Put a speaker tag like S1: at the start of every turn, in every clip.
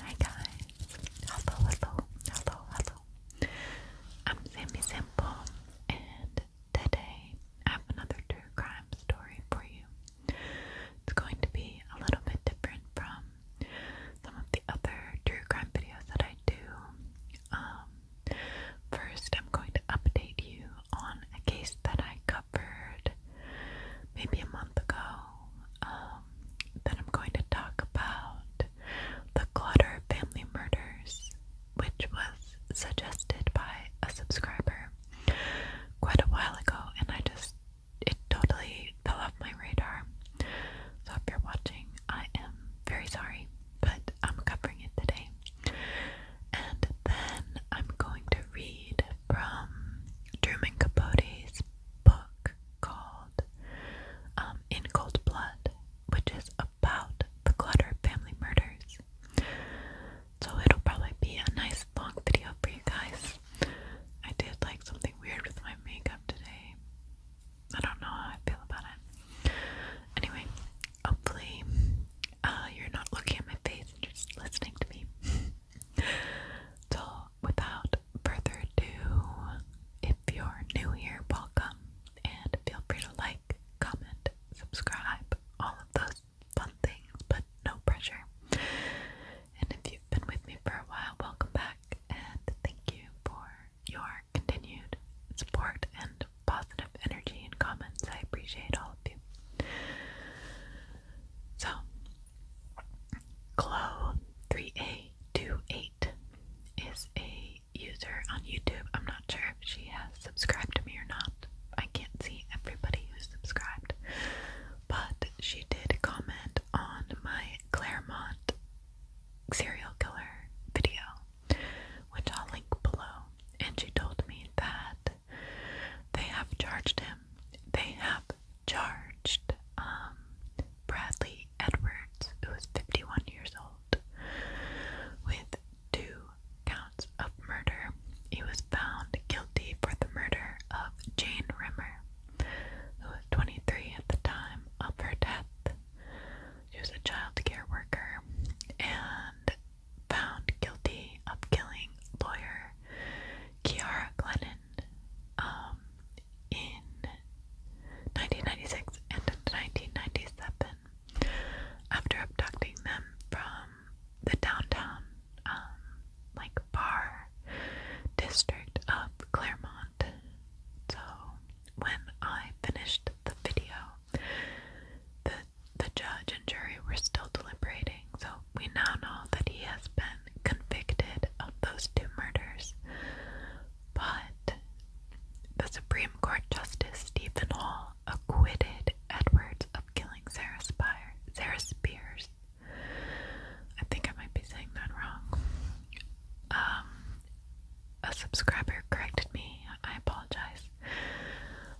S1: Hi guys, hello, hello, hello, hello. I'm Sammy Simple, and today I have another true crime story for you. It's going to be a little bit different from some of the other true crime videos that I do. Um, first, I'm going to update you on a case that I covered maybe a month ago um, then I'm going to talk about the Clutter Family Murders, which was suggested by a subscriber quite a while ago, and I just it totally fell off my radar. So if you're watching, I am very sorry, but I'm covering it today. And then I'm going to read from Truman Capote's book, called um, In Cold Blood, which is about the Clutter family murders. So it'll probably be a nice long video for you guys. I did like something weird with my makeup today. I don't know how I feel about it. Anyway, hopefully uh, you're not looking at my face and just listening to me. So, without further ado, if you're new here, welcome and feel free to like, comment, subscribe, all of those fun things, but no pressure. And if you've been with me for a while, welcome back and thank you for your continued support and positive energy and comments. I appreciate all of you. So, Chloe3828 is a user on YouTube. I'm not sure if she has subscribed to me or not. I can't see everybody who's subscribed. But she did comment on my Claremont serial killer video, which I'll link below. And she told me that they have charged him. They have charged um, Bradley Edwards, who was 51 years old, with two counts of murder. He was found guilty for the murder of Jane Rimmer, who was 23 at the time of her death. She was a child care worker and found guilty of killing lawyer Kiara Glennon um, in 1996 and 1997 after abducting them from the downtown um, like bar district of Claremont. So when I finished the video, the the judge and jury were still deliberating. So we now know that he has been convicted of those two murders. But the Supreme Court Justice Stephen Hall acquitted Edwards of killing Sarah, Spire, Sarah Spears. I think I might be saying that wrong. Um, a subscriber corrected me. I apologize.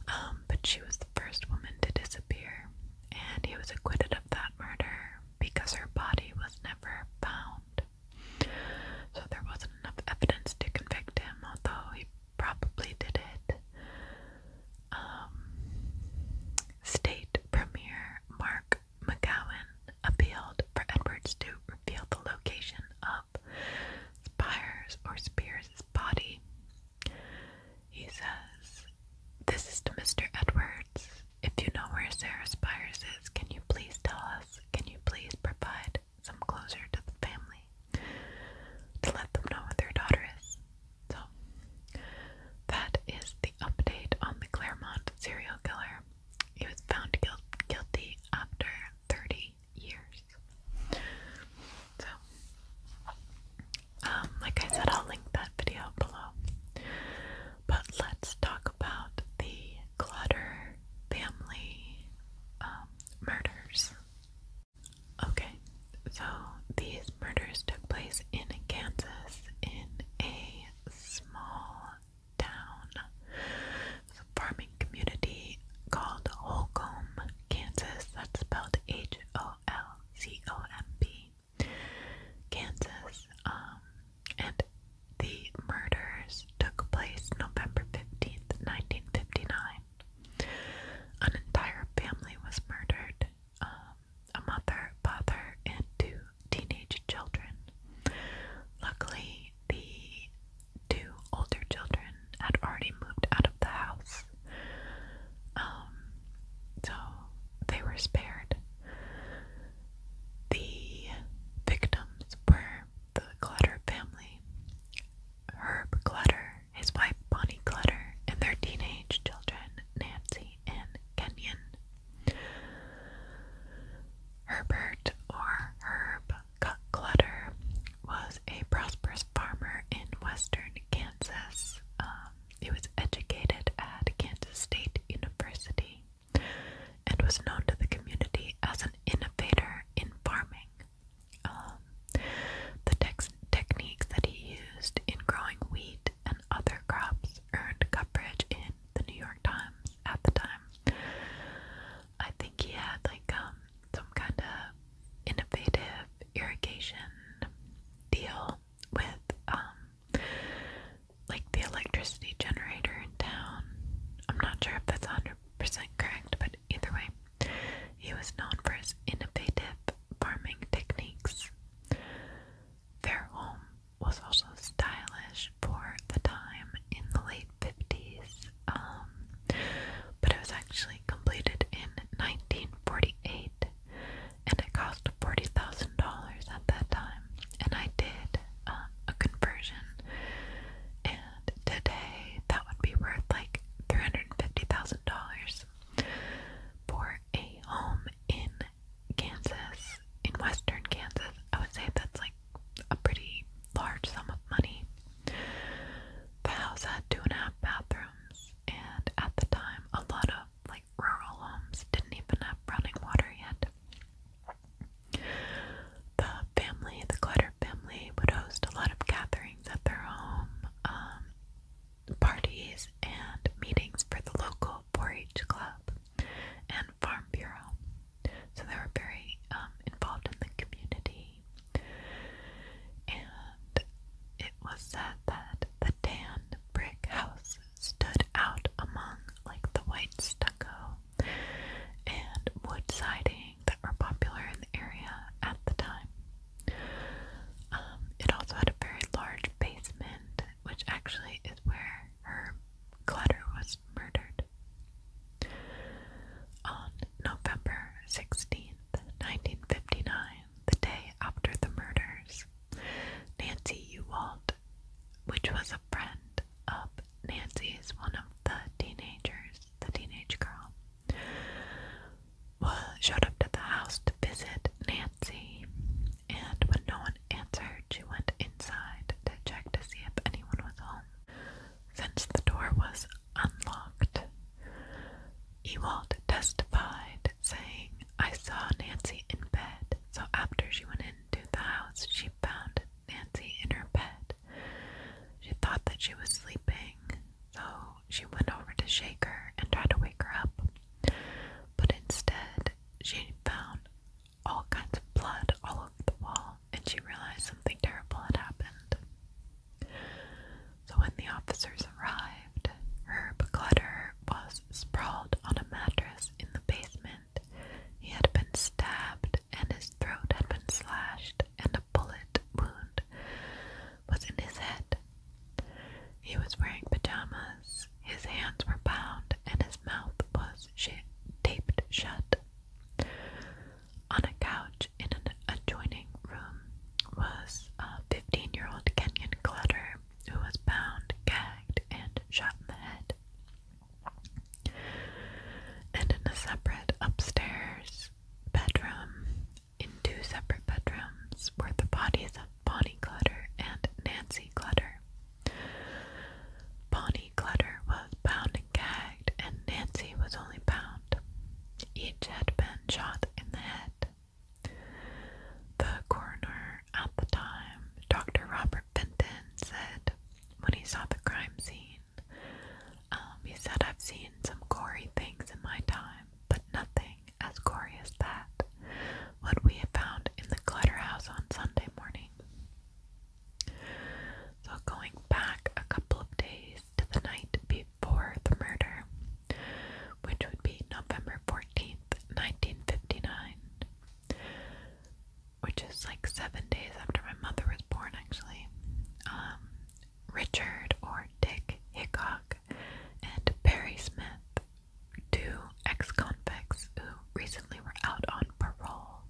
S1: Um, but she was the first woman to disappear and he was acquitted of that murder because her body was never found. So there wasn't enough evidence to convict him, although he probably did it. Um, State Premier Mark McGowan appealed for Edwards to reveal the location of Spires or Spears' body. He says, This is to Mr. Edwards. If you know where Sarah Spires is, can you please tell us? Can you please provide some closure to the family to let them know where their daughter is? So, that is the update on the Claremont serial killer. He was found guilty after 30 years. So, um, like I said, I'll link that video below. But let's talk about the Clutter family um, murders. Okay, so these murders took place in Kansas in a small town, it's a farming community called Holcomb, Kansas. That's spelled H O L C O M B. Kansas. Um, and the murders took place November 15th, 1959. An entire family was murdered um, a mother, father, and two teenage children. Luckily, the two older children had already moved out of the house. Um, so they were spared. The victims were the Clutter family, Herb Clutter, his wife Bonnie Clutter, and their teenage children Nancy and Kenyon. Herbert or Herb Clutter was a prosperous farmer in western Kansas. Um, he was educated at Kansas State University and was known to the community as an innovator in farming. Um, the techniques that he used in growing wheat and other crops earned coverage in the New York Times at the time. I think he had like um, some kind of innovative irrigation deal with um like the electricity generator in town. I'm not sure if that's 100% correct, but either way, he was known for his innovative farming techniques. Their home was also stylish for the time in the late 50s, um, but it was actually completed in 1948 and it cost forty thousand dollars at that time. And I did um, a conversion, and today that would be worth like three hundred fifty thousand dollars for a home in Kansas, in Western Kansas. I would say that's like a pretty large sum of money. The house had two and a half bathrooms, and at the time, a lot of like rural homes didn't even have running water yet. The family, the Clutter family, would host a lot of gatherings at their home, um, parties, and meetings for the local 4-H club and farm bureau. So they were very um, involved in the community, and it was said that the tan brick house stood out among like the white stucco and wood siding that are popular in the area at the time. Um, it also had a very large basement, which actually is where her clutter was murdered. On November 16th, 1959, the day after the murders, Nancy Ewalt, which was a friend of Nancy's, one of the teenagers, the teenage girl, well, showed up to the house to visit Nancy, and when no one answered, she went inside to check to see if anyone was home. Since the door was unlocked, Ewald testified, saying, I saw Nancy in bed, so after she went in, to the house, she found Nancy in her bed. She thought that she was sleeping, so she went over to shake her and try to wake her up. But instead, she found all kinds of blood all over the wall, and she realized something terrible had happened. So, when the officers arrived, Herb Clutter was sprawled on a mattress in the basement he had been stabbed, and his throat had been slashed, and a bullet wound was in his head. He was wearing pajamas, his hands were bound, and his mouth was taped shut. On a couch in an adjoining room was a 15 year old Kenyan Clutter who was bound, gagged, and shot in the head. And in a separate upstairs bedroom, in two separate bedrooms, were the bodies of Bonnie Clutter and Nancy Clutter. Bonnie Clutter was bound and gagged, and Nancy was only bound. Each had been shot in the head. The coroner at the time, Dr. Robert Benton, said when he saw the crime scene, um, he said, I've seen some gory things in my time, but nothing as gory as that. What we have found in the House on Sunday morning. So, going back a couple of days to the night before the murder, which would be November 14th, 1959, which is like seven days after my mother was born, actually. Um, Richard or Dick Hickock and Perry Smith, two ex convicts who recently were out on parole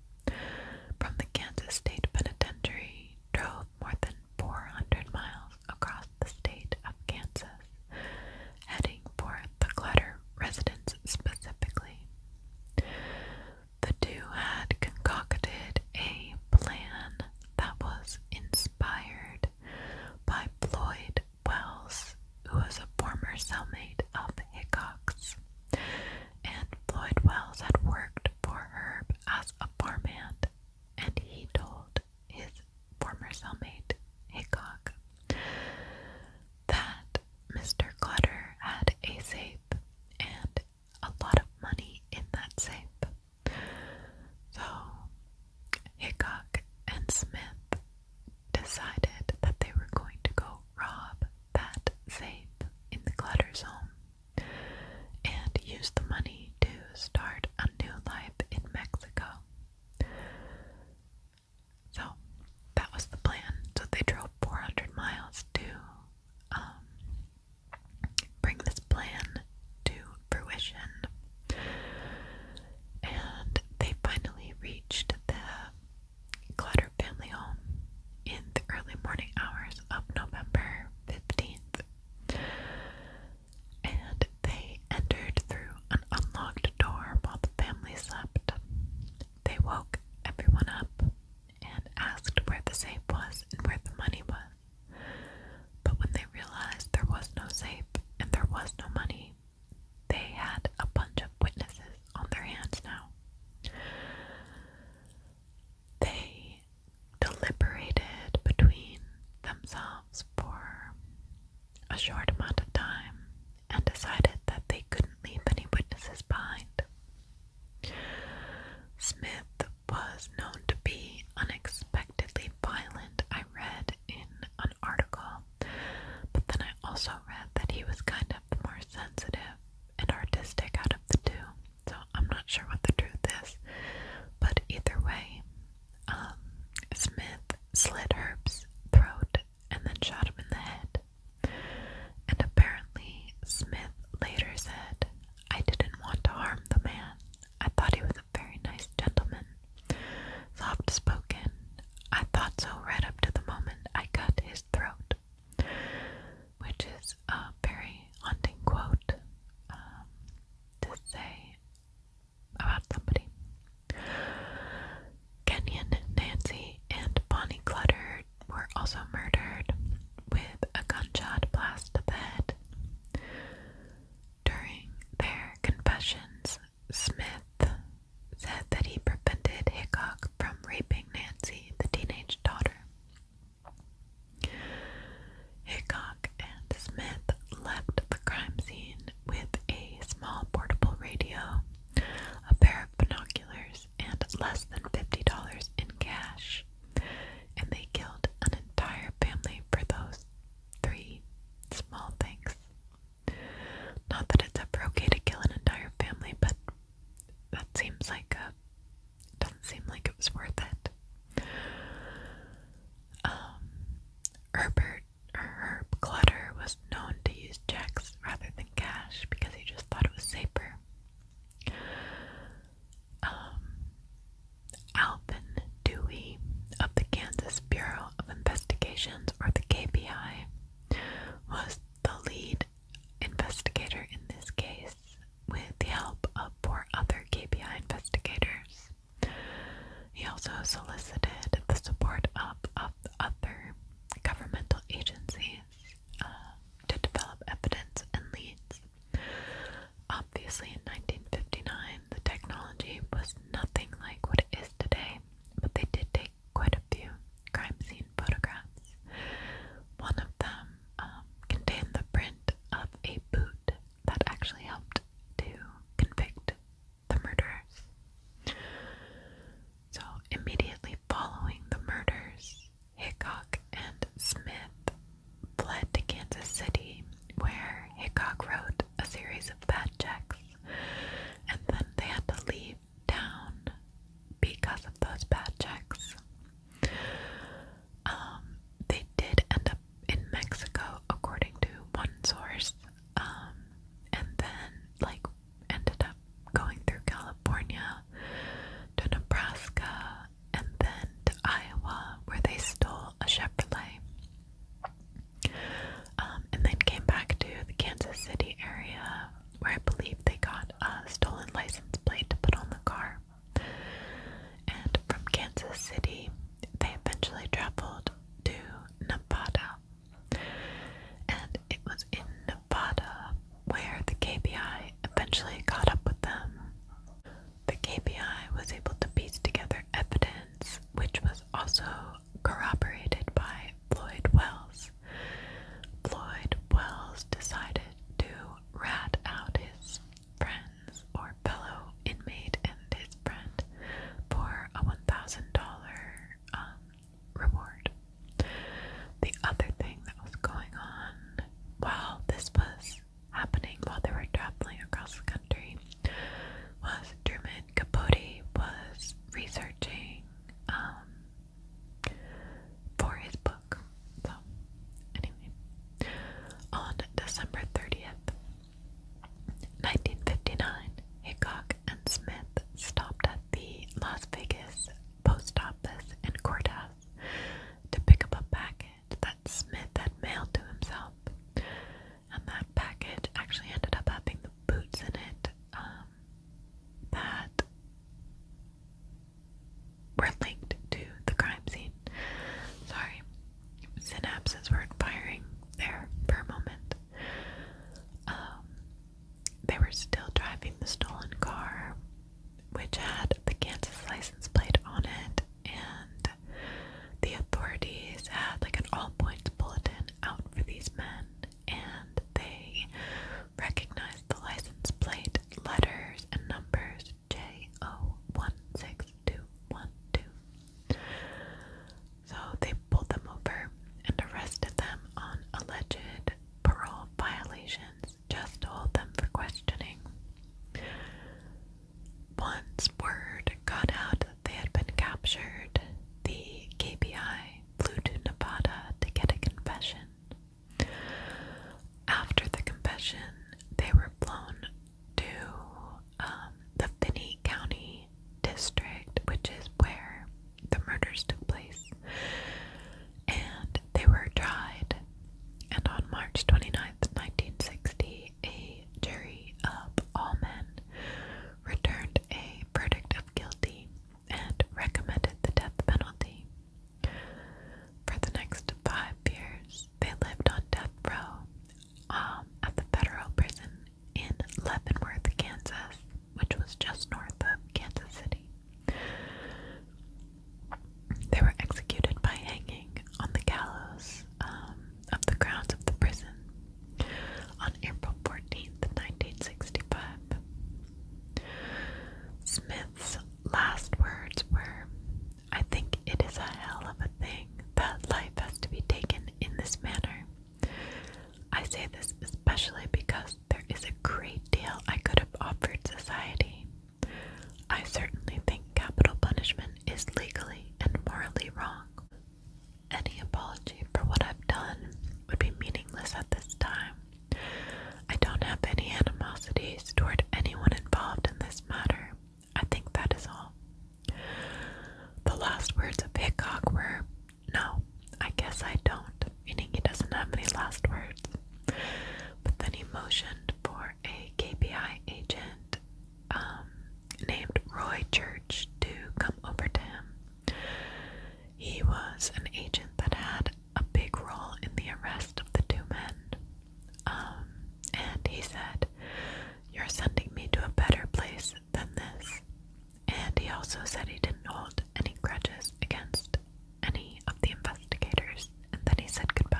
S1: from the Kansas State Penitentiary, drove more than 400 miles across the state of Kansas heading for the Clutter residence specifically. The two had concocted a plan that was inspired by Floyd Wells, who was a former cellmate of Hickok's, and Floyd Wells had worked for Herb as a farmhand, and he told his former cellmate Hickok that Mr. Clutter had a safe and a lot of money in that safe. So Hickok and Smith decided that they were going to go rob that safe in the Clutter's home and use the money to start a new life in Mexico. So that was the plan. So they drove 400 miles to um, bring this plan to fruition. And they finally reached the Clutter family home in the early morning hours of November 15th. And they entered through through an unlocked door while the family slept. They woke everyone up and asked where the safe was and where the money was. But when they realized there was no safe and there was no money, they had a bunch of witnesses on their hands now. They deliberated between themselves for a short amount of time and decided that they couldn't leave any witnesses behind. Smith was known to be unexpectedly violent. I read in an article, but then I also read that he was kind of more sensitive and artistic out of the two. So I'm not sure what the truth is, but either way, um, Smith slit Herb's throat and then shot him in the head. And apparently, Smith later said, I didn't want to harm the man. I thought he was a very nice gentleman. Soft spoken. I thought so right up to the moment I cut his throat. Which is a very haunting quote um, to say about somebody. Kenyon, Nancy, and Bonnie Clutter were also murdered with a gunshot blast to the head. During their confessions, Smith said that he prevented Hickok from raping Nancy, the teenage daughter. Hickok and Smith left the crime scene with a small portable radio, a pair of binoculars, and less than $50 in cash. And they killed an entire family for those three small things. Not that it's ever to kill an entire family, but that seems like a. Doesn't seem like it was worth it. Um, Herbert Herb Clutter was known to use checks rather than cash because he just thought it was safer. Um, Alvin Dewey of the Kansas Bureau of Investigations, or the KBI, was the lead investigator in this case with the help of four other KBI investigators. He also solicited the support of, of other governmental agencies uh, to develop evidence and leads. Obviously, in 1959, the technology was nothing like what it is today, but they did take quite a few crime scene photographs. One of them um, contained the print of a boot that actually helped to convict the murders. So, immediately following the murders, Hickok and Smith fled to Kansas City, where Hickok wrote a series of bad checks, and then they had to leave town because of those bad checks. Um, they did end up in Mexico, according to one source, um, and then, like, ended up going through California to Nebraska and then to Iowa, where they stole a Chevrolet. Um, and then came back to the Kansas City area, where I believe they got a stolen license plate to put on the car. And from Kansas City, they eventually traveled to Nevada, and it was in Nevada where the KBI eventually caught up with them. The KBI was able to piece together evidence, which was also corroborated by Floyd Wells. Floyd Wells decided to rat out his friends or fellow inmate and his friend for a $1,000 reward. The other thing that was going on while this was happening, while they were traveling across the country, was Truman Capote was researching um, for his book. So, anyway, on December 30th, 1959, Hickok and Smith stopped at the Las Vegas post office and courthouse to pick up a package that Smith had mailed to himself. And that package actually ended up having the boots in it um, that were linked to the crime scene. Sorry, synapses were firing there for moment. Um, they were still driving the stolen car, which had the Kansas license plate on it, and the authorities had like an all points bulletin out for these men, and they recognized the license plate letters and numbers J O one six two one two. So they pulled them over and arrested them on alleged parole violations just to hold them for questioning. Once word got out that they had been captured, the KBI flew to Nevada to get a confession. After the confession, they were flown to um, the Finney County District, which is where the murders took place. And they were tried. And on March 29th, 1960, a jury of all men returned a verdict of guilty and recommended the death penalty. For the next five years, they lived on death row um, at the federal prison in Leavenworth, Kansas, which was just north of Kansas City. They were executed by hanging on the gallows um, of the grounds of the prison on April 14th, 1965. Smith's last words were, I think it is a hell of a thing that life has to be taken in this manner. I say this especially because there is a great deal I could have offered society. I certainly think capital punishment is legally and morally wrong. Any apology for what I've done would be meaningless at this time. I don't have any animosities toward anyone involved in this matter. I think that is all. The last words of Pickock were no, I guess I don't, meaning he doesn't have any last words. But then he motioned for a KPI agent um, named Roy Church to come over to him. He was an agent that had a big role in the arrest of the two men. Um, and he said, You're sending me to a better place than this and he also said he didn't hold any grudges against any of the investigators, and then he said goodbye.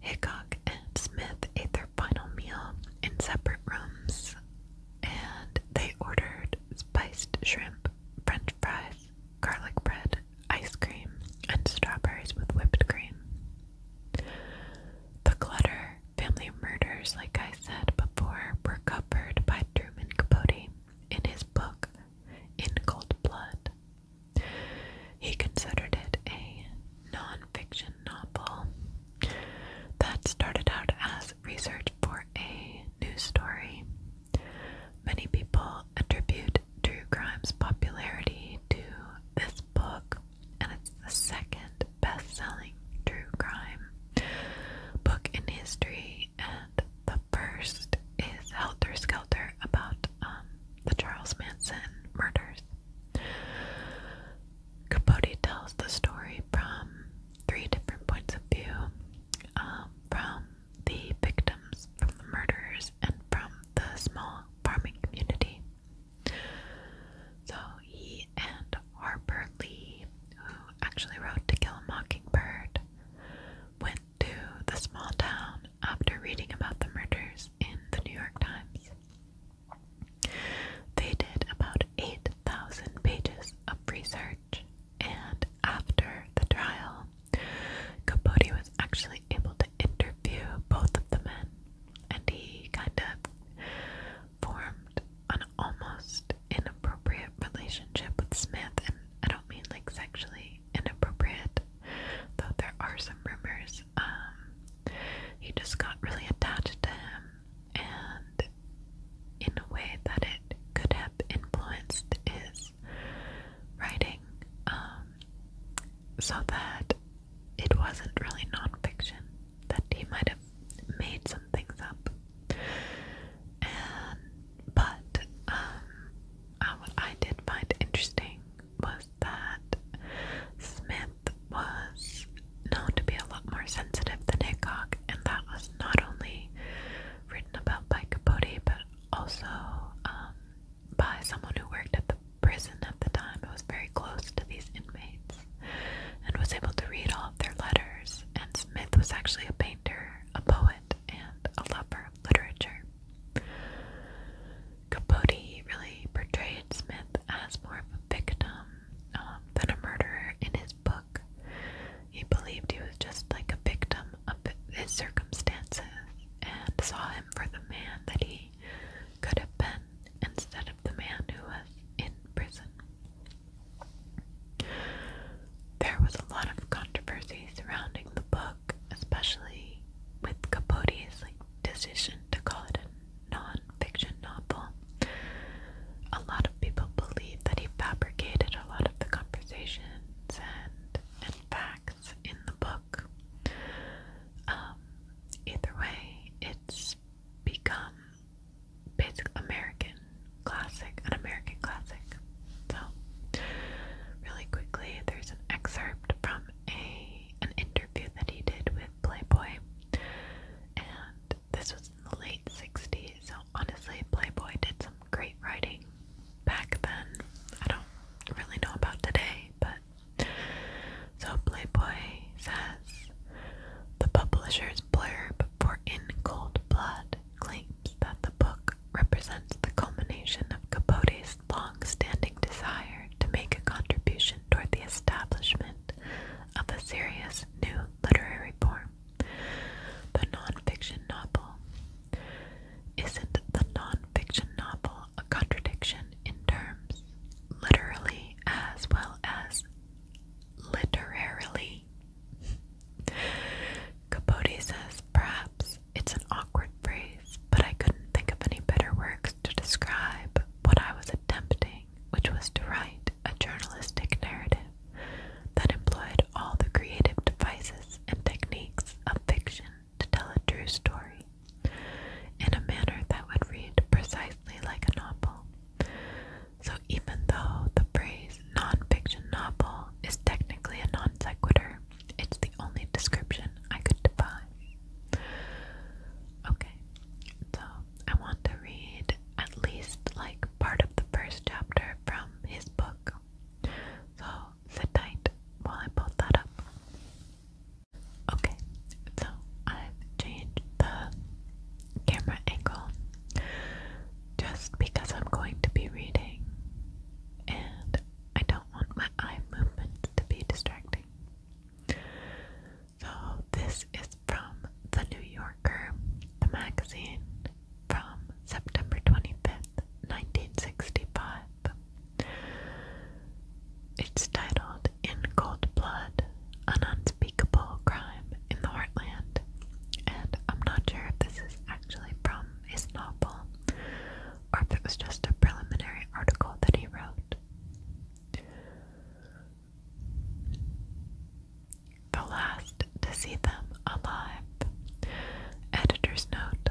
S1: Hickok and Smith ate their final meal in separate rooms, and they ordered spiced shrimp, french fries, garlic bread, ice cream, and strawberries with whipped cream. The clutter Family murders, like I said before, were covered by Truman Capote in his book In Cold Blood. He considered it a non fiction novel that started out as research for a news story. Many people attribute true crime's popularity to this book and its the second best selling true crime book in history, and the first is Helter Skelter about um, the Charles Manson murders. Capote tells the story from three different points of view um, from the victims, from the murderers, and from the small farming community. So he and Harper Lee, who actually wrote To Kill a Mockingbird, went to the small town after reading about the murders in the New York Times. They did about 8,000 pages of research, and after the trial, Capote was actually able to interview both of the men, and he kind of formed an almost inappropriate relationship with Smith, and I don't mean like sexually inappropriate, though there are some rumors. Um, he just got really attached to him, and in a way that it could have influenced his writing, um, so that it wasn't really nonfiction that he might have made some things up. And but um, uh, what I did find interesting was that Smith was known to be a lot more sensitive than Hickok, and that was not only written about by Capote, but also um, by someone who worked at the prison at the time. It was very close to these inmates and was able to read all of their letters. And Smith was actually a painter, a poet, and a lover of literature. Capote really portrayed Smith as more of a victim um, than a murderer in his book. He believed he was just like a victim of his circumstances and saw him for the man that he could have been instead of the man who was in prison. There was a lot of controversy surrounding the book, especially with Capote's like decision to call it a non-fiction novel. A lot of people believe that he fabricated a lot of the conversations and and facts in the book. Um, either way, it's become basic American classic, an American classic. So, really quickly, there's an excerpt from a an interview that he did with Playboy, and this was in the late '60s. So honestly, Playboy did some great writing back then. I don't really know about today, but. So Playboy says the publishers blurb for In Cold Blood claims that the book represents the culmination of Capote's long standing desire to make a contribution toward the establishment of a serious new literary form. The nonfiction novel. Isn't the nonfiction novel a contradiction in terms, literally as well as literarily. Capote says, perhaps it's an awkward phrase, but I couldn't think of any better works to describe what I was attempting, which was to write a journalistic narrative that employed all the creative devices and techniques of fiction to tell a true story in a manner that would read precisely like a novel. So even though the phrase nonfiction novel is technically a non sequitur, it's the only description I could define. Okay, so I want to read at least like part of the first chapter from his book. So sit tight while I pull that up. Okay, so I've changed the camera angle just because I'm going to be reading and I don't want my eye movements to be distracting. So, this is from The New Yorker, the magazine from September 25th, 1965. It's titled In Cold Blood an unspeakable crime in the heartland, and I'm not sure if this is actually from his novel or if it was just a preliminary article that he wrote. The last to see them alive. Editor's note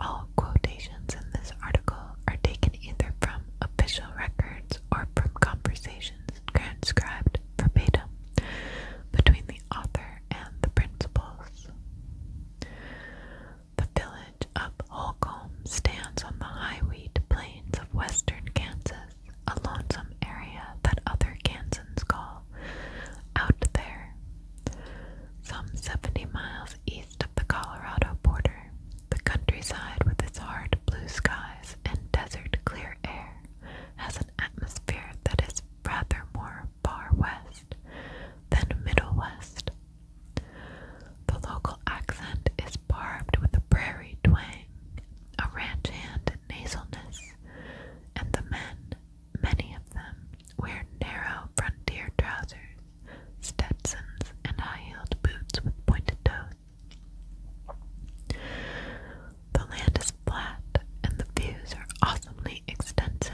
S1: All quotations in this article are taken either from official records or from conversations transcribed verbatim between the author and the principals. The village of Holcomb stands on the high wheat plains of western Kansas, a lonesome area that other Kansans call out there. Some 70 miles east of the Colorado border, the countryside with its heart blue skies and desert clear air has an atmosphere that is rather more far west than middle west. The local accent is barbed with a prairie twang, a ranch hand nasalness, and the men, many of them, wear narrow frontier trousers, Stetsons, and high heeled boots with pointed toes. The land is flat and the views are awesomely extensive.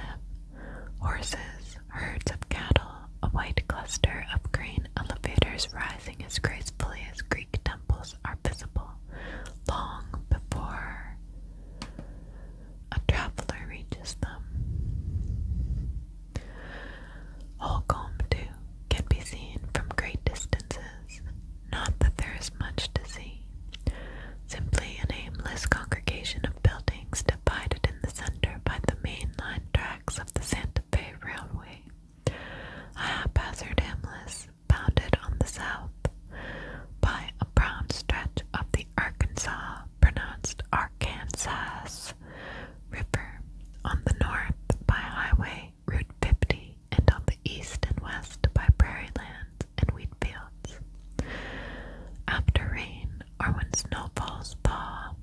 S1: Horses, herds of cattle, a white cluster of green elevators rising as gracefully as Greek temples are visible long before a traveler reaches them. Holcomb, too, can be seen from great distances not that there is much to see, simply an aimless congregation of buildings divided in the center by the main line tracks of the Santa Fe Railway, a haphazard aimless, bounded on the south by a brown stretch of the Arkansas, pronounced Arkansas, River on the north by Highway Route 50 and on the east and west by prairie lands and wheat fields. After rain, or when snow falls thaw,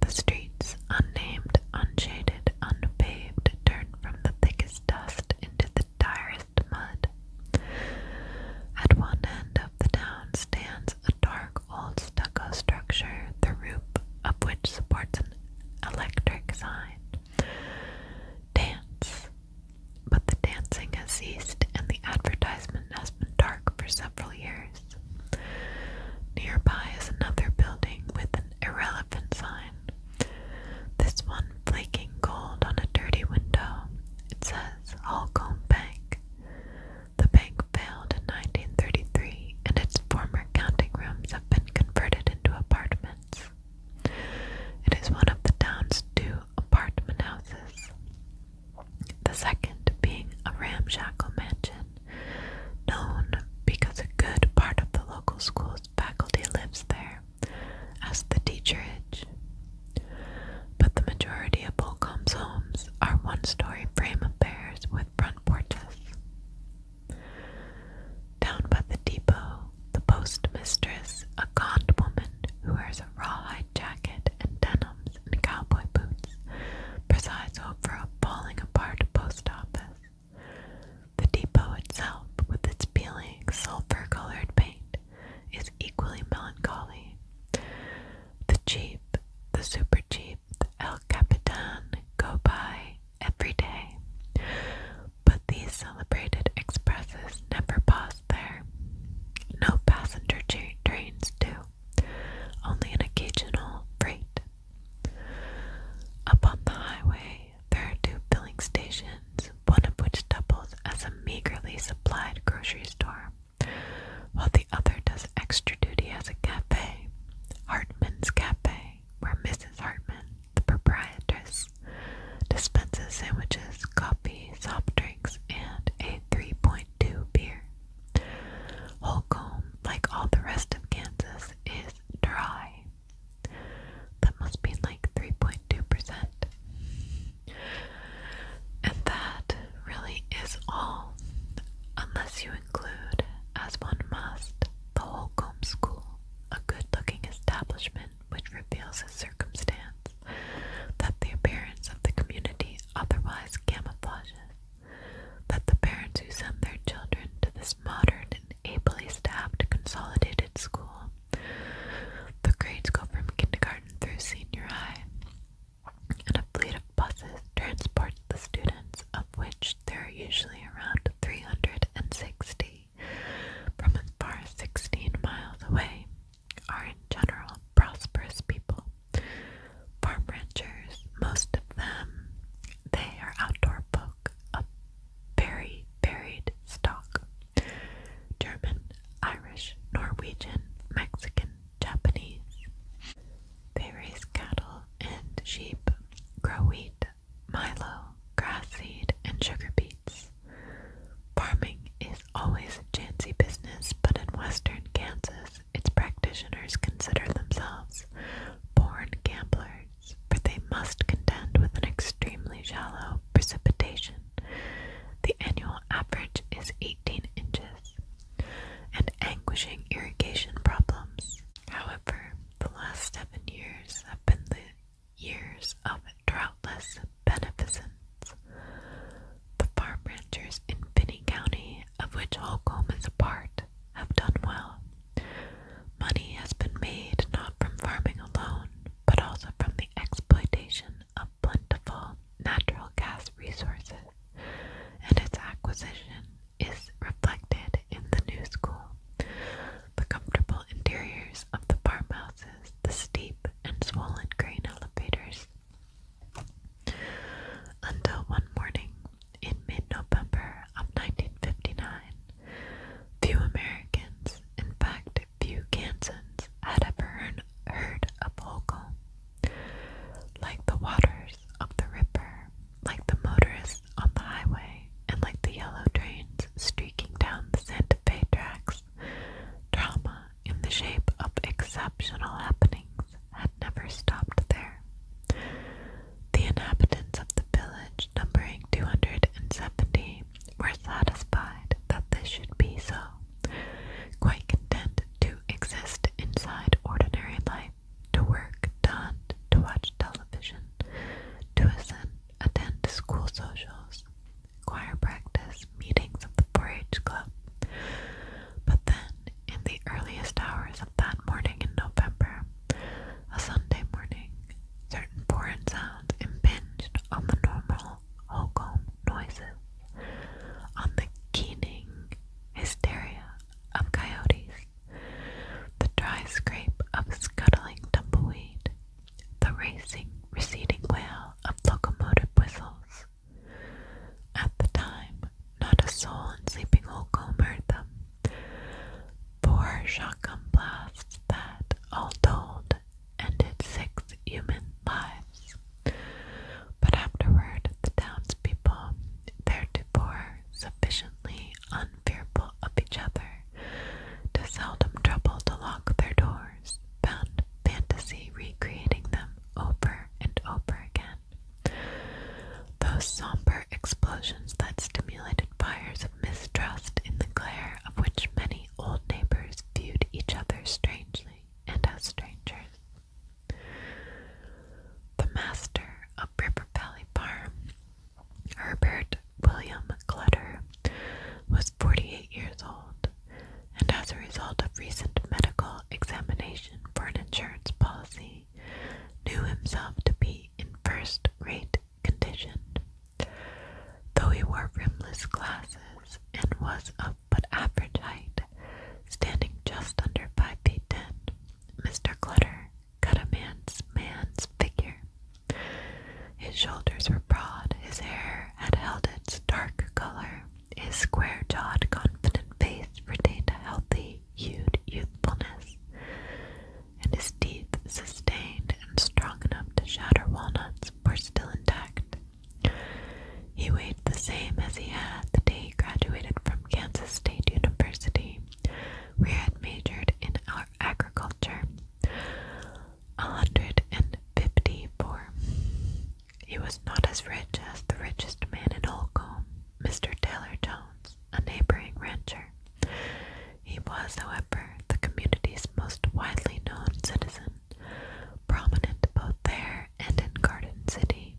S1: the streets, unnamed, unshaded, unpaved, turn from the thickest dust into the direst mud. At one end of the town stands a dark old stucco structure, the roof of which supports an electric sign dance. But the dancing has ceased and the advertisement has been dark for several years. Nearby is another building with an irrelevant sign. This one flaking gold on a dirty window. It says Holcomb Bank. The bank failed in 1933 and its former counting rooms have been converted into apartments. It is one of the town's two apartment houses, the second being a ramshackle mansion known because a good part of the local school's faculty lives there as the teacherage. But the majority of Holcomb's homes are one story frame affairs with front porches. Down by the depot, the postmistress, a gaunt woman who wears a rawhide jacket and denims and cowboy boots, presides over a falling apart post office. The depot itself, with its peeling, sulfur colored paint, is equally melancholy. The cheap, the super cheap, the El Capitan, go by, every day. But these celebrated expresses never pause there. No passenger trains do, only an occasional freight. Up on the highway, there are two filling stations, one of which doubles as a meagerly supplied grocery store, while the other does extra duty as a cafe. Hartman's Cafe where Mrs. Hartman, the proprietress, dispenses sandwiches, coffee, soft drinks, and a 3.2 beer. Holcomb, like all the rest of Kansas, is dry. That must be like 3.2%. And that really is all, unless you include, as one must, the Holcomb School, a good looking establishment which reveals a circumstance that the appearance of the community otherwise camouflages, that the parents who send their children to this modern and ably staffed consolidated school. The grades go from kindergarten through senior high, and a fleet of buses transports the students, of which there are usually around 360 from as far as 16 miles away are in general prosperous people. Farm ranchers, most of them, they are outdoor folk of very varied stock. German, Irish, Norwegian, Mexican, Japanese. They raise cattle and sheep, grow wheat, milo, grass seed, and sugar beets. Farming is always a chancy business, but in western Kansas, its practitioners consider themselves born gamblers, for they must contend with an extremely shallow precipitation. The annual average is 18 inches, and anguishing irrigation problems. However, the last seven years have been the years of droughtless beneficence. The farm ranchers in Finney County, of which Holcomb is a part, have done well. Money has been made not from farming alone, but also from the exploitation of plentiful natural gas resources, and its acquisition is reflected in the new school. The comfortable interiors of the farmhouses, the steep and swollen grain elevators. Until one morning in mid November of 1959, few Americans, in fact, few Kansans, had ever heard a Holcomb. Like the waters of the Ripper, like the motorist on the highway and like the yellow trains streaking down the Santa Fe tracks. Drama in the shape of exceptional happenings had never stopped there. The inhabitants of the village, numbering 270, were satisfied that this should be so, quite content to exist inside ordinary life, to work, to hunt, to watch television, to ascend attend school socials, choir practice, meetings of the 4-H club. But then, in the earliest hours of that morning in November, a Sunday morning, certain foreign sounds impinged on the normal Holcomb noises, on the keening hysteria of coyotes, the dry scrape of scuttling tumbleweed, the racing, receding wail of locomotive whistles. At the time, not a soul in sleeping Old heard them. Poor shotgun blasts that, all told, ended six human lives. But afterward, the townspeople, theretofore sufficiently un fearful of each other, to seldom trouble to lock their doors, found fantasy recreating them over and over again. Those somber explosions that stimulated fires of mistrust in the glare of which many old neighbors viewed each other strangely and as strangers. The master of River Valley Farm Herbert William Clutter was 48 years old, and as a result of recent medical examination for an insurance policy, knew himself to be in first rate condition. Though he wore rimless glasses and was of but average height, standing just under 5 feet 10, Mr. Clutter cut a man's man's figure. His shoulders were broad, his hair had held its dark color, his square-jawed, confident face retained a healthy, hued youthfulness, and his teeth, sustained and strong enough to shatter walnuts, were still intact. He weighed the same as he had the day he graduated from Kansas State University, where he had majored in Agriculture. agriculture. 154. He was not as rich as the richest man in Holcomb, Mr. Taylor Jones, a neighboring rancher. He was, however, the community's most widely known citizen, prominent both there and in Garden City.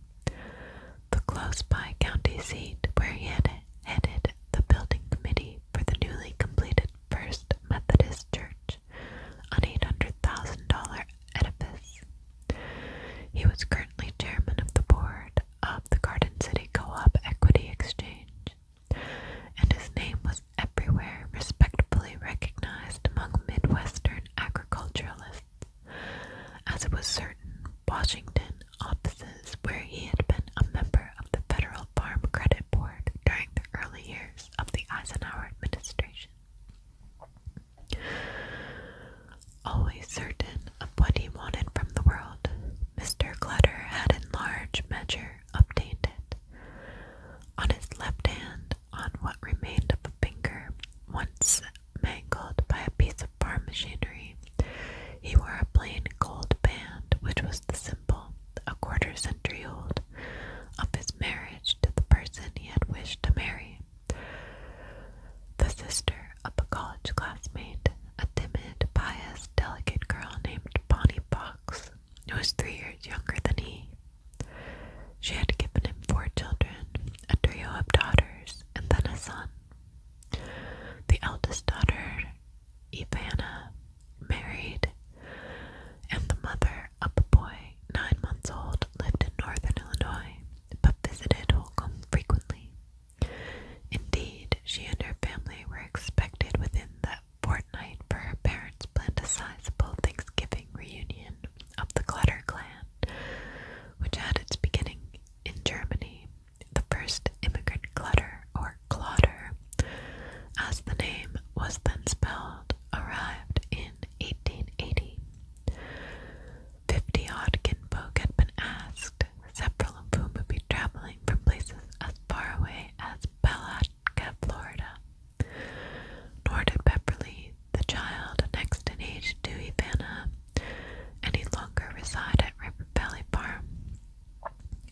S1: The close by county seat where he had headed the building committee for the newly completed First Methodist Church, an $800,000 edifice. He was currently chairman of the board of the Garden City Co op Equity Exchange, and his name was everywhere respectfully recognized among Midwestern agriculturalists, as it was certain Washington offices where he had been a member of the Federal Farm Credit Board during the early years of the Eisenhower administration. Always certain of what he wanted from the world, Mr. Clutter had in large measure obtained it. On his left hand, on what remained of a finger, once mangled by a piece of farm machinery, he wore a plain gold band, which was the symbol, a quarter century old, of his marriage to the person he had wished to marry. The sister of a college classmate, a timid, pious, delicate girl named Bonnie Box, who was three years younger than he. She had given him four children, a trio of daughters, and then a son. The eldest daughter, Ivana, married, and the mother a boy nine months old lived in northern Illinois, but visited Holcomb frequently. Indeed, she and her family were expected within that fortnight, for her parents planned a sizable Thanksgiving reunion of the Clutter clan, which had its beginning in Germany the first immigrant clutter or clotter, as the name was then spelled, arrived in 1880. Fifty odd kinfolk had been asked, several of whom would be traveling from places as far away as Palatka, Florida. Nor did Pepperly, the child next in age to Ivana, any longer reside at River Valley Farm.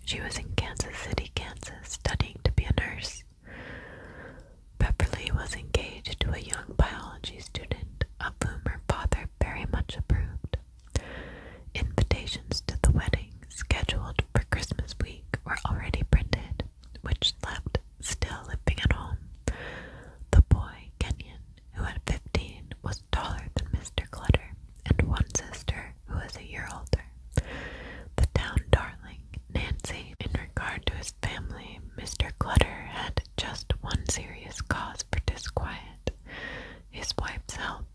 S1: She was in Kansas City, Kansas, studying to be a nurse. Pepperly was engaged to a young biology student, of whom her father very much approved. Invitations to the wedding, scheduled for Christmas week, were already printed, which left still living at home. The boy, Kenyon, who at fifteen was taller than Mr. Clutter, and one sister who was a year older. The town darling, Nancy. In regard to his family, Mr. Clutter had just one serious cause for disquiet his wife's health.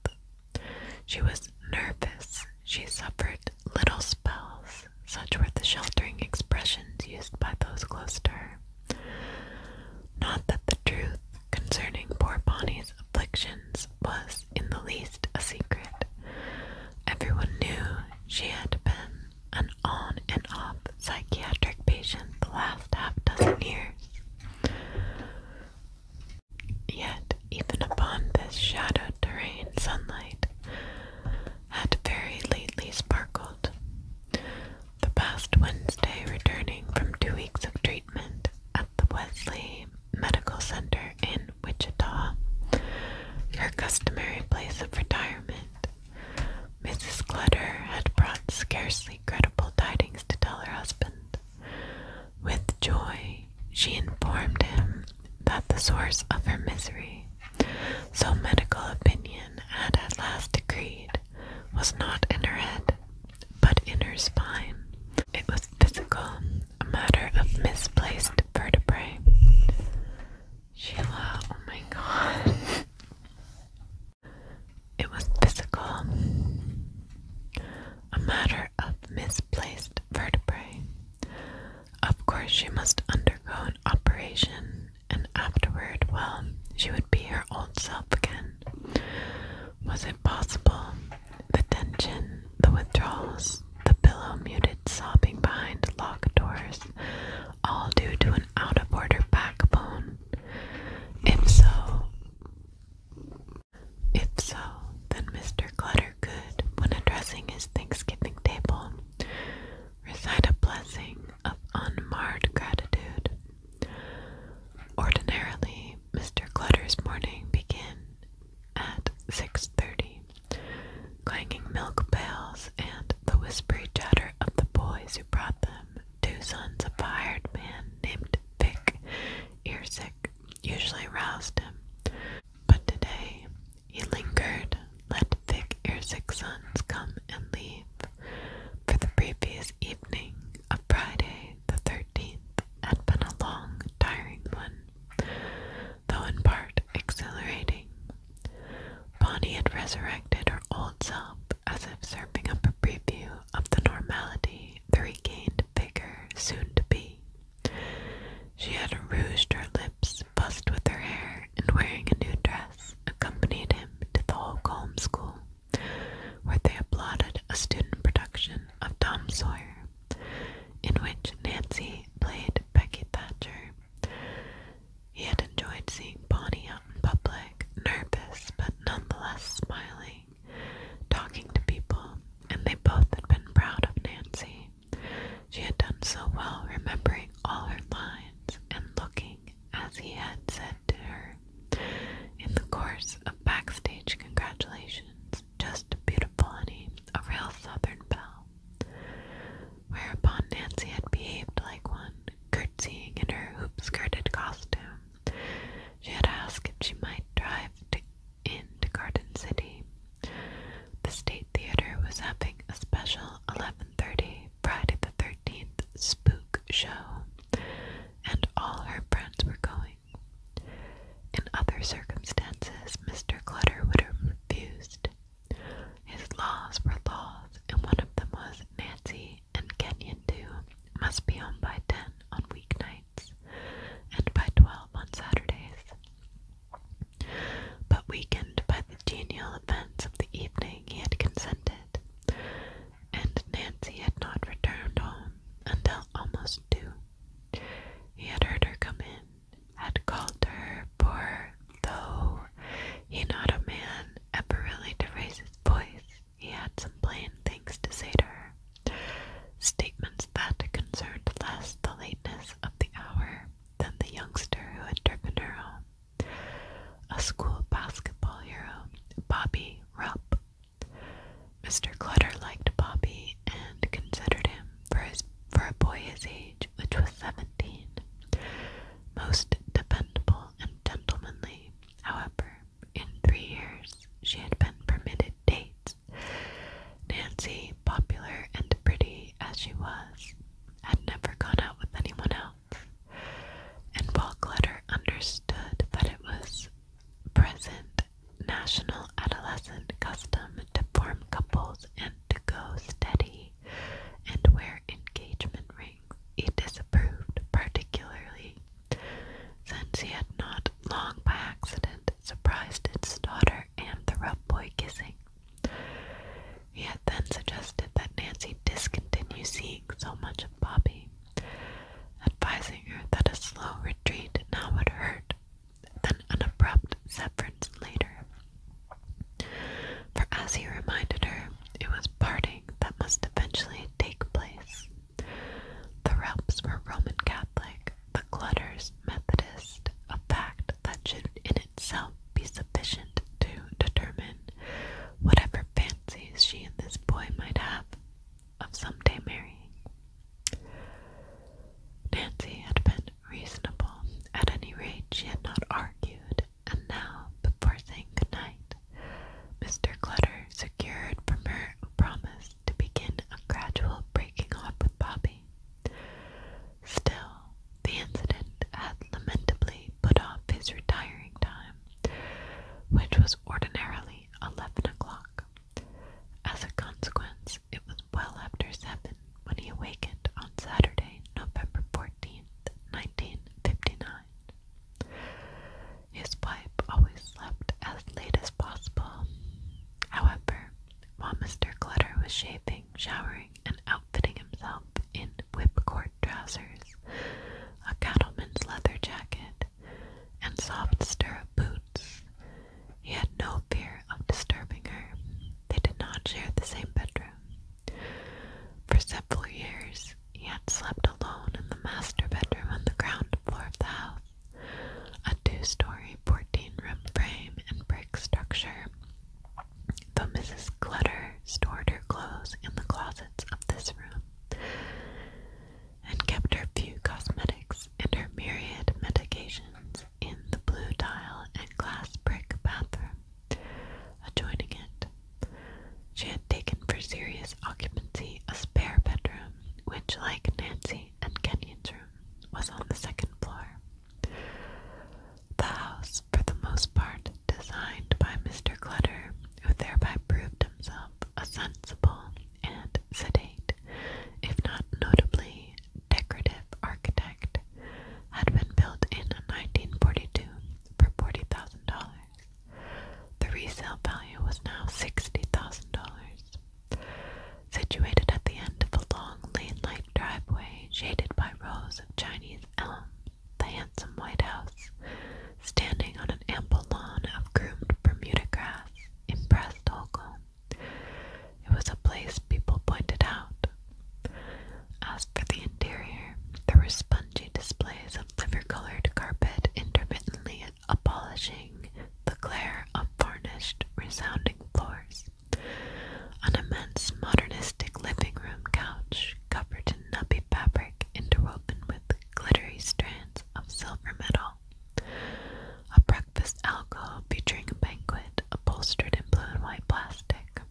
S1: She was nervous. She suffered little spells. Such were the sheltering expressions used by those close to her. Not that the truth concerning poor Bonnie's afflictions was in the least a secret. Everyone knew she had been an on and off psychiatric patient the last half dozen years. Yet, even upon this shadowed terrain, sunlight had very lately sparkled. The past Wednesday, returning from two weeks of treatment at the Wesley Medical Center in Wichita, her customary place of retirement. Mrs. Clutter had brought scarcely credible tidings to tell her husband. With joy, she informed him that the source of her misery, so medical opinion had at last decreed, was not in her head, but in her spine. It was physical, a matter of misplaced vertebrae. Sheila, oh my god. It was physical, a matter of misplaced vertebrae. Of course, she must undergo an operation, and afterward, well, she would be her old self again. Was it possible the tension, the withdrawals, the pillow muted sobbing behind locked doors, all due to an out of order backbone. If so, if so, then Mr. Clutter could, when addressing his Thanksgiving table, recite a blessing of unmarred gratitude. Ordinarily, Mr. Clutter's morning began at six thirty. Clanging milk pails and the whispery chatter of the boys who brought them, two sons of a hired man named Vic Earsick usually roused him. But today he lingered, let Vic Earsick's sons come and leave. For the previous evening of Friday the thirteenth, had been a long, tiring one, though in part exhilarating. Bonnie had resurrected her old self as if serving up a preview of the normality, the regained vigor soon to be. She had rouged her lips, fussed with her hair, and wearing a new dress, accompanied him to the Holcomb School, where they applauded a student production of Tom Sawyer in which Nancy played Becky Thatcher. He had enjoyed seeing Bonnie out in public, nervous but nonetheless smiling, talking to people, and they both had been proud of Nancy. She had done so well remembering all her lines and looking as he had said to her. In the course of backstage congratulations, just beautiful honey, a real southern belle. Whereupon Nancy had behaved like one, curtsying in her hoop skirted costume. She had asked if she might drive into Garden City. The State Theater was having a special 11:30 Friday the 13th spook show, and all her friends were going. In other circumstances, Mr. Clutter would have refused. His laws were laws, and one of them was Nancy and Kenyon, too, must be home by ten on weeknights and by twelve on Saturdays. But weakened by the genial events of the evening, he had consented, and Nancy had not returned home until almost two. He had heard her come in, had called her, poor, though he not a man ever really to raise his voice, he had some plain things to say to her. Statements that concerned less the lateness of the hour than the youngster who had driven her home. A school basketball hero, Bobby Rupp, Mr. Clutter liked Bobby and considered him for his for a boy his age, which was seventeen, most dependable and gentlemanly. However, in three years she had been permitted dates. Nancy, popular and pretty as she was, had never gone out with anyone else. And while Clutter understood that it was present national adolescent custom to form couples and to go steady and wear engagement rings, he disapproved, particularly since he had not long by accident surprised his daughter and the rough boy kissing. He had then suggested that Nancy discontinue seeing so much of Bobby advising her that a slow retreat now would hurt than an abrupt severance later. For as he reminded her, it was parting that must eventually take place. The Relps were Roman Catholic, the Clutters Methodist, a fact that should in itself be sufficient to determine whatever fancies she and this boy might have of some day marrying. Nancy had been reasonable. At any rate, she had not argued, and now, before saying good night, Mr. Clutter secured from her a promise to begin a gradual breaking off with Bobby. Still, the incident had lamentably put off his retiring time, which was ordinarily eleven o'clock. As a consequence, it was well after seven when he awakened on Saturday, November 14th, 1959. His wife always slept as late as possible. However, while Mr. Clutter was shaving, showering, and outfitting himself in whipcord trousers, a cattleman's leather jacket, and soft stirrup boots. He had no fear of disturbing her. They did not share the same bedroom. For several years, he had slept alone in the master bedroom on the ground floor of the house, a two story, 14 room frame and brick structure. Though Mrs. Clutter stored her clothes in the closets of this room, and kept her few cosmetics and her myriad medications in the blue tile and glass brick bathroom adjoining it. She had taken for serious occupancy a spare bedroom, which, like Nancy and Kenyon's room, was on the second floor. The house, for the most part, designed by Mr. Clutter, who thereby proved himself a sensible and sedate if not notably decorative architect, had been built in 1942 for $40,000. The resale value was now $60,000. Situated at the end of a long lane-like driveway shaded by rows of Chinese elms, the handsome White House, standing on an ample lawn of groomed Bermuda grass, impressed Holcomb it was a place people pointed out. As for the interior, there were spongy displays of liver-colored carpet intermittently abolishing the glare of varnished, resounding floors. An immense modernistic living room couch covered in nubby fabric interwoven with glittery strands of silver metal a breakfast alcove featuring a banquet upholstered in blue and white plastic.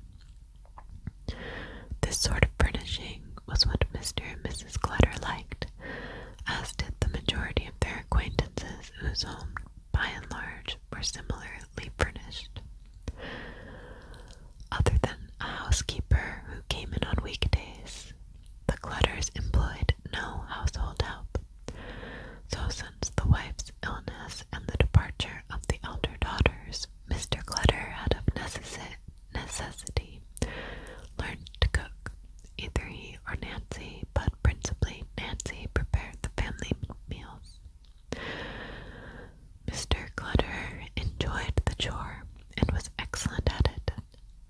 S1: This sort of furnishing was what Mr. and Mrs. Clutter liked, as did the majority of their acquaintances whose homes, by and large, were similarly furnished. Other than a housekeeper who came in on weekdays, the Clutters employed no household help. So, since the wife's illness and the departure of the elder daughters, Mr. Clutter had of necessity learned to cook. Either he or Nancy, but principally Nancy prepared the family meals. Mr. Clutter enjoyed the chore and was excellent at it.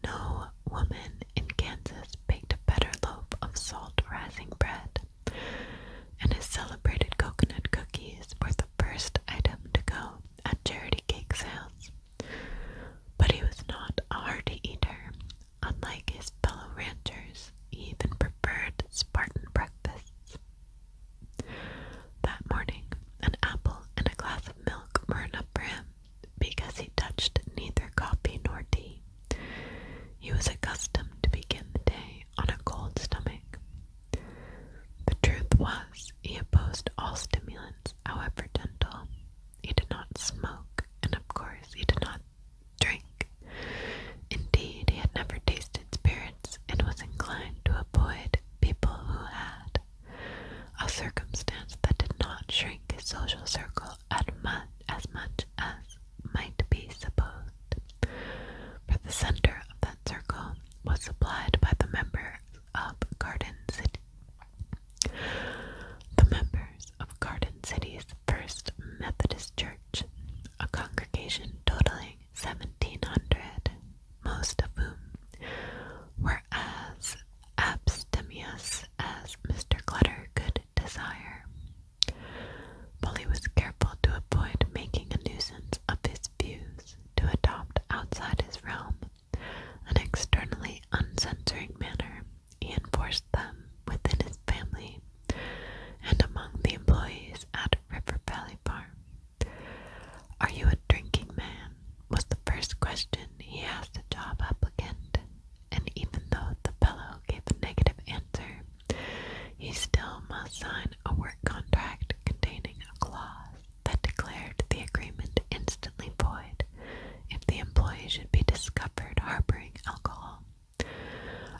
S1: No woman in Kansas baked a better loaf of salt rising bread, and his celebrated coconut cookies were the first item to go at charity cake sales. But he was not a hearty eater. Unlike his fellow ranchers, he even preferred Spartan breakfasts. That morning, an apple and a glass of milk were enough for him because he touched neither coffee nor tea. He was accustomed to begin the day on a cold stomach. The truth was, he opposed all stimulants, however gentle. He did not smoke, and of course, he did not drink. Indeed, he had never tasted spirits and was inclined to avoid people who had, a circumstance that did not shrink his social circle at much, as much as might be supposed, for the center of that circle was supplied by the members of Garden City. The members of Garden City's First Methodist Church, a congregation totaling 1,700, most of whom were as abstemious as Mr. Clutter could Desire, but he was careful to avoid making a nuisance of his views, to adopt outside his realm an externally uncensoring manner. He enforced them within his family and among the employees at River Valley Farm. Are you a drinking man? was the first question he asked a job applicant and even though the fellow gave a negative answer, he still must sign a work contract containing a clause that declared the agreement instantly void if the employee should be discovered harboring alcohol.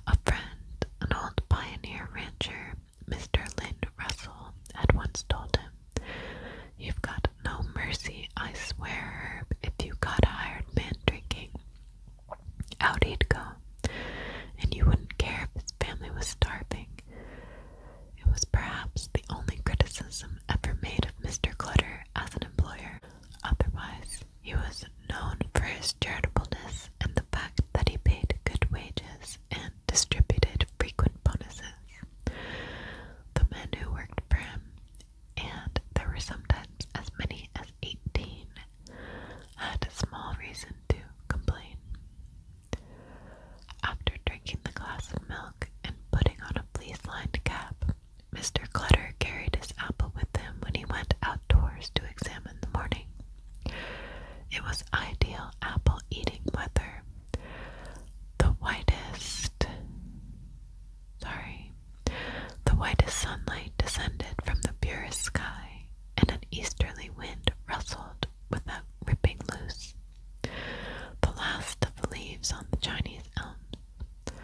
S1: A friend, an old pioneer rancher, Mr. Lynn Russell, had once told him, You've got no mercy, I swear, If you got a hired man drinking, out he'd go, and you wouldn't care if his family was starving. It was perhaps the only criticism ever made of Mr. Clutter as an employer. Otherwise, he was known for his charitableness and the fact that he paid good wages and distributed frequent bonuses. The men who worked for him, and there were sometimes as many as 18, had small reason to complain. After drinking the glass of milk and putting on a fleece lined cap, Mr. Clutter carried his apple with him when he went outdoors to examine the morning. It was ideal apple eating weather. The whitest, sorry, the whitest sunlight descended from the purest sky, and an easterly wind rustled without ripping loose the last of the leaves on the Chinese elms.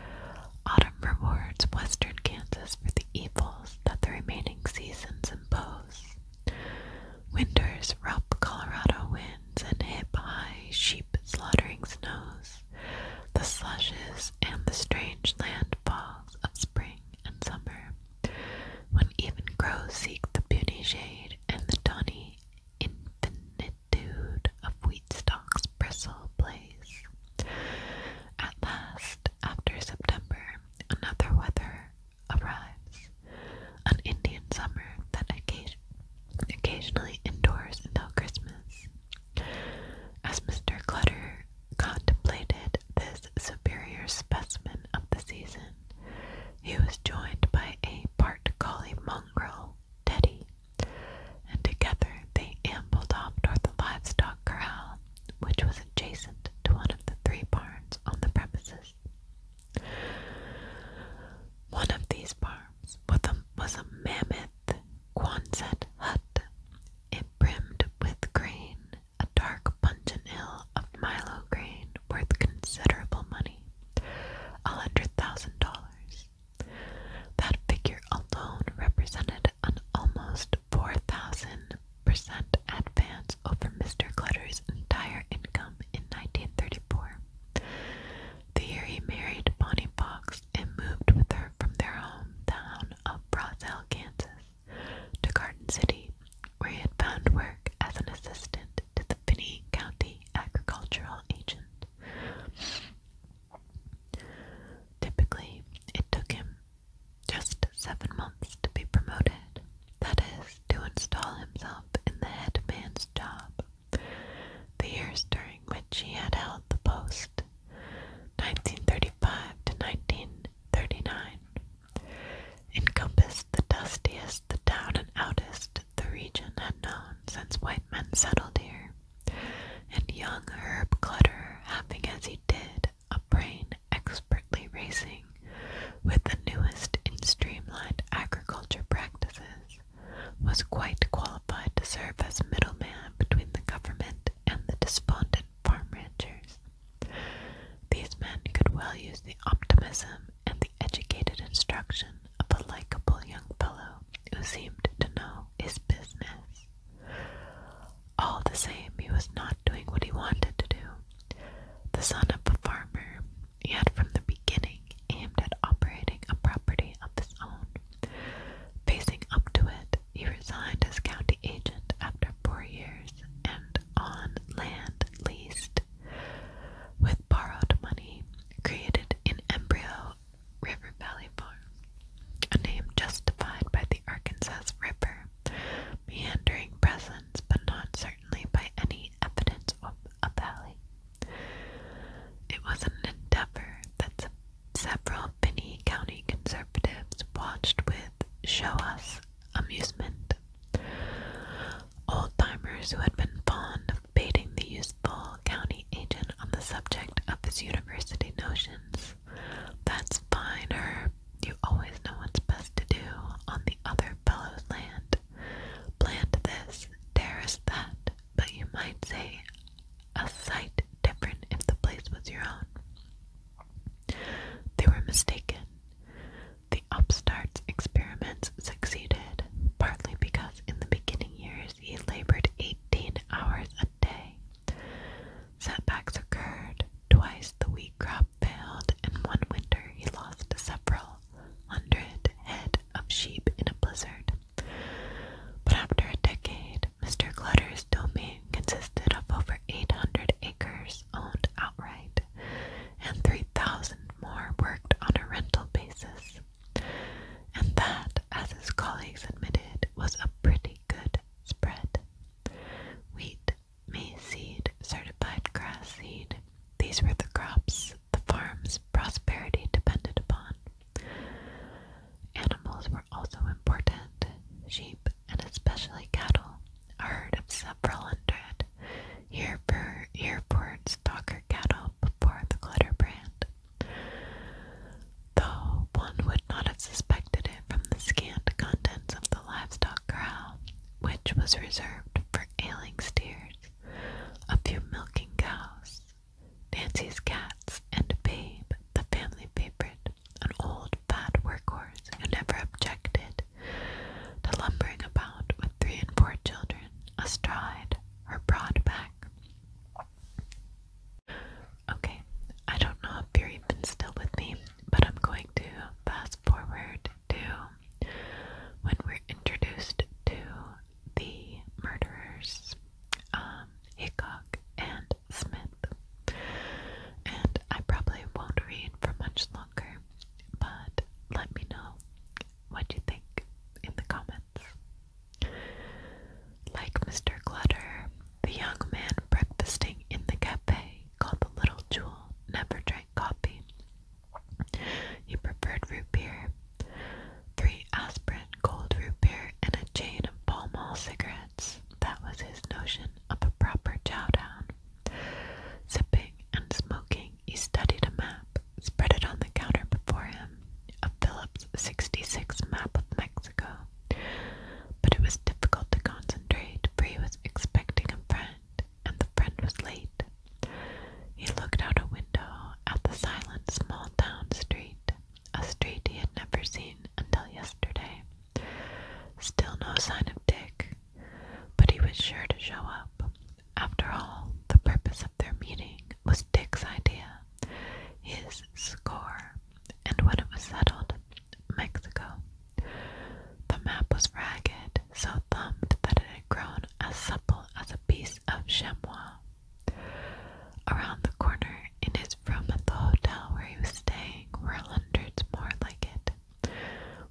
S1: Autumn rewards western Kansas for the evils that the remaining seasons impose. Winter's rough Colorado winds and hip high sheep slaughtering snows the slushes, and the strange landfalls of spring and summer, when even crows seek the beauty shade and the tawny infinitude of wheat stalks bristle blaze. At last, after September, another weather arrives, an Indian summer that occasionally indoors until Christmas. As Mr. Clutter contemplated this superior specimen of the season, he was joined by a part collie mongrel, Teddy, and together they ambled off toward the livestock corral, which was adjacent to one of the three barns on the premises. One of these barns was a mammoth Quonset hut. It brimmed with grain, a dark pungent of milo grain worth considerable money, a hundred thousand dollars. That figure alone represented an almost four thousand percent advance over Mr. Clutter's entire income in 1934. The year he married Bonnie Fox and moved with her from their hometown of Brazel, Kansas, to Garden City, where he had found work as an assistant to the Finney County agricultural agent. Typically, it took him just seven months to be promoted, that is, to install himself in the head job the years during which he had held the post, 1935 to 1939, encompassed the dustiest, the down and outest the region had known since white men settled here, and young Herb Clutter, having as he did a brain expertly racing with the newest in streamlined agriculture practices, was quite qualified to serve as middleman between the government and the despondent farm ranchers. These men could well use the optimism and the educated instruction of a likable young fellow who seemed to know his business. All the same, he was not doing what he wanted to do. The son of a farmer, he had from the beginning aimed at operating a property of his own Facing up to it, he resigned as county agent after four years and on land leased with borrowed money created in embryo River Valley Farm, a name justified by the Arkansas River, meandering presence but not certainly by any evidence of a valley. It was an endeavor that Several Binney County conservatives watched with show us amusement. Old timers who had been fond of baiting the useful county agent on the subject of his university notions. That's fine, You always know what's best to do on the other fellow's land. Plant this, terrace that, but you might say a sight different if the place was your own. They were mistaken. The upstart's experiments succeeded, partly because in the beginning years he labored 18 hours a day. Setbacks occurred. Twice the wheat crop failed, and one winter he lost several hundred head of sheep in a blizzard. But after a decade, Mr. Clutter's domain consisted of over 800 acres owned outright, and 3,000 more worked on a rental basis. And that, as his colleagues admitted, was a pretty good spread. Wheat, maize seed, certified grass seed, these were the crops the farm's prosperity depended upon. Animals were also important. Sheep, and especially cattle, a herd of several hundred, year-for year-born stalker cattle before the Clutterbrand. Though one would not have suspected it from the scant contents of the livestock crowd, which was reserved for ailing steers, a few milking cows, Nancy's Cats and Babe, the family favorite, an old fat workhorse who never objected to lumbering about with three and four children astride her broad back. Okay, I don't know if you're even still with me, but I'm going to fast forward to when we're introduced to the murderers um, and Smith. And I probably won't read for much longer, but let me know what you think in the comments. Like Mr. Clutter, the young man breakfasting in the cafe called the Little Jewel never drank coffee. He preferred root beer Three aspirin, cold root beer, and a chain of Pall Mall cigarettes. That was his notion of a proper down. Sipping and smoking, he studied a map, spread it on the counter before him, a Phillips 66 map of Mexico. But it was difficult to concentrate, for he was expecting a friend, and the friend was late. He looked out a window at the silent small town street a street he had never seen until yesterday. Still no sign of Dick, but he was sure to show up. After all, the purpose of their meeting was Dick's idea, his score, and when it was settled, Mexico. The map was ragged, so thumbed that it had grown as supple as a piece of Chamois. Around the corner, it is from the hotel where he was staying were hundreds more like it.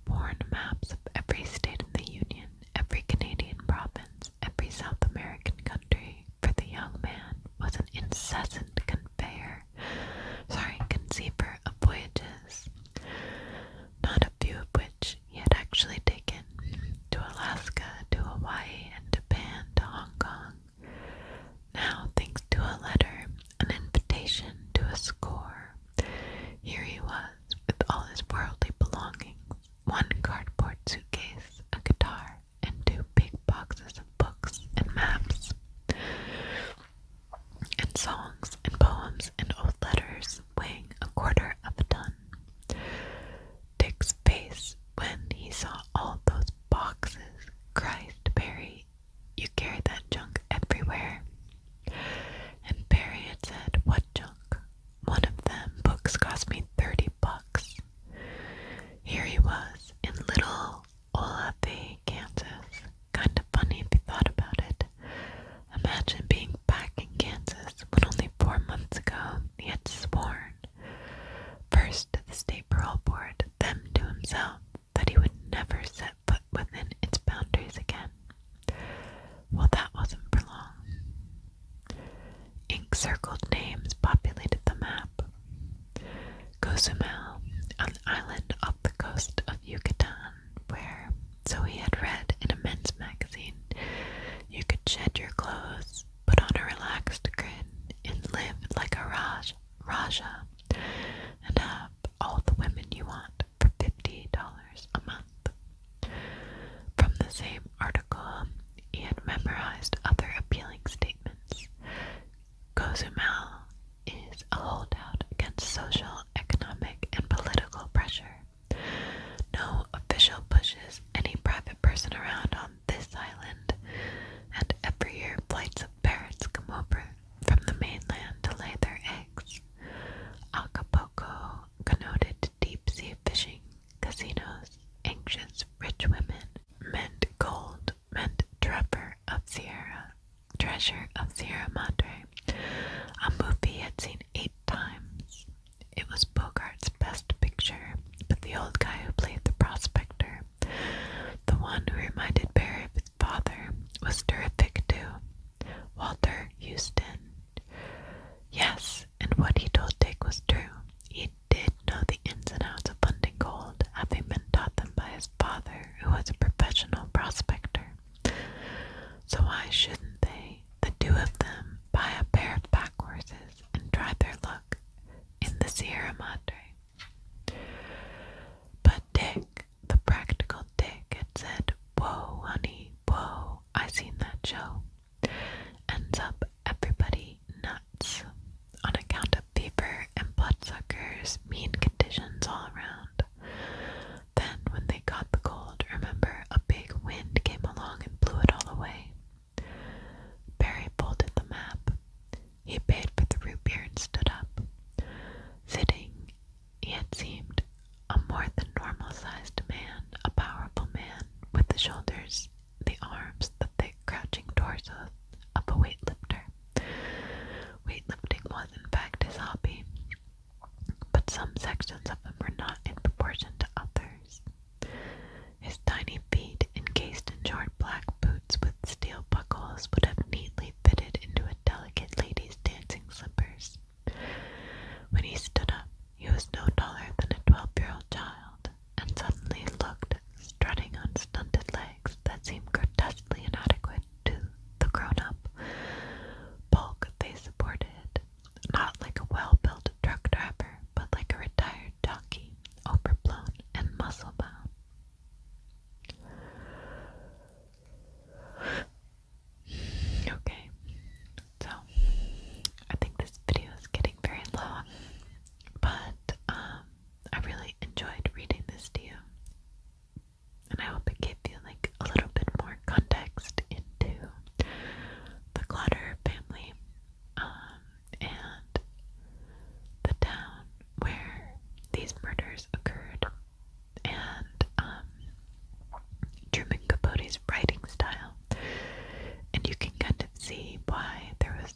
S1: Worn maps of every state in the Union, every Canadian province, every South American country, for the young man was an incessant conveyor, sorry, conceiver of voyages, not a few of which he had actually taken to Alaska, to Hawaii, and Japan, to Hong Kong, now, thanks to a letter, an invitation to a score, here he was with all his worldly belongings one cardboard suitcase, a guitar, and two big boxes of books and maps, and songs and poems and old letters weighing a quarter of a ton. Dick's face when he saw all those boxes. Christ, Barry, you carry that junk everywhere. And Barry had said, What junk? One of them books cost me thirty bucks. Here he was in little Olathe, Kansas. Kind of funny if you thought about it. Imagine being back in Kansas when only four months ago he had sworn First, the state parole board then to himself that he would never set foot within its boundaries again. Well, that wasn't for long. Ink circled names populated the map. Cozumel, an island off the coast of Yucatan, where, so he had read in a men's magazine, you could shed your clothes put on a relaxed grin, and live like a Raj, rajah, and have all the women you want for $50 a month. From the same article, he had memorized other appealing statements. Cozumel is a holdout against social, economic, and political pressure. No official pushes any private person around on this island, and every year flights of parrots come over from the mainland to lay their eggs. Acapulco, connoted deep sea fishing, casinos, anxious rich women, meant gold, meant trevor of Sierra, treasure of Sierra Madre, a movie he had seen eight times. It was Bogart's best picture but the old guy who played the prospector, the one who reminded Barry of his father, was terrific too. Walter Houston. Yes, and what he told Dick was true. He did know the ins and outs of London gold, having been taught them by his father, who was a professional prospector. So why shouldn't they, the two of them, buy a pair of pack horses and try their luck? in the Sierra Madre. But Dick, the practical Dick, had said, Whoa, honey, whoa, I seen that show. Ends up everybody nuts on account of fever and bloodsuckers, mean conditions all around. Then, when they caught the cold, remember a big wind came along and blew it all away. Barry folded the map. He paid for the root beer and stood up. Sitting, he had seemed a more than normal sized man, a powerful man, with the shoulders, the arms, the thick, crouching torso of a weightlifter. Weightlifting was, in fact, his hobby, but some sections of him were not in proportion to others. His tiny feet, encased in short black boots with steel buckles, would have neatly fitted into a delicate lady's dancing slippers. When he stood up, he was no taller than a twelve year old child, and suddenly looked, strutting on stunted legs that seemed grotesquely inadequate to the grown up bulk they supported, not like a well built truck driver, but like a retired tired donkey, overblown and muscle bound. Okay, so I think this video is getting very long, but um, I really enjoyed reading this to you, and I hope it gave you like a little bit more context into the Clutter family. Um, and the town where these murders occurred. And um, Truman Capote's writing style, and you can kind of see why there was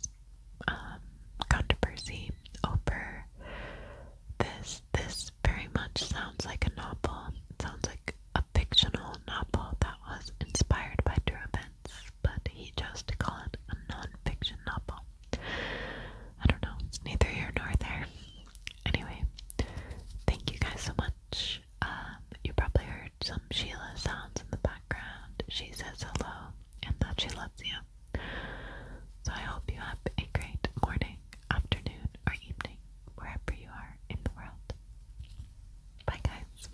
S1: um, controversy over this. This very much sounds like a novel. sounds like a fictional novel that was inspired by true events but he chose to a non novel. I don't know, neither here nor there. Anyway, thank you guys so much. Um, you probably heard some Sheila sounds in the background. She says hello and that she loves you. So I hope you have a great morning, afternoon, or evening, wherever you are in the world. Bye, guys.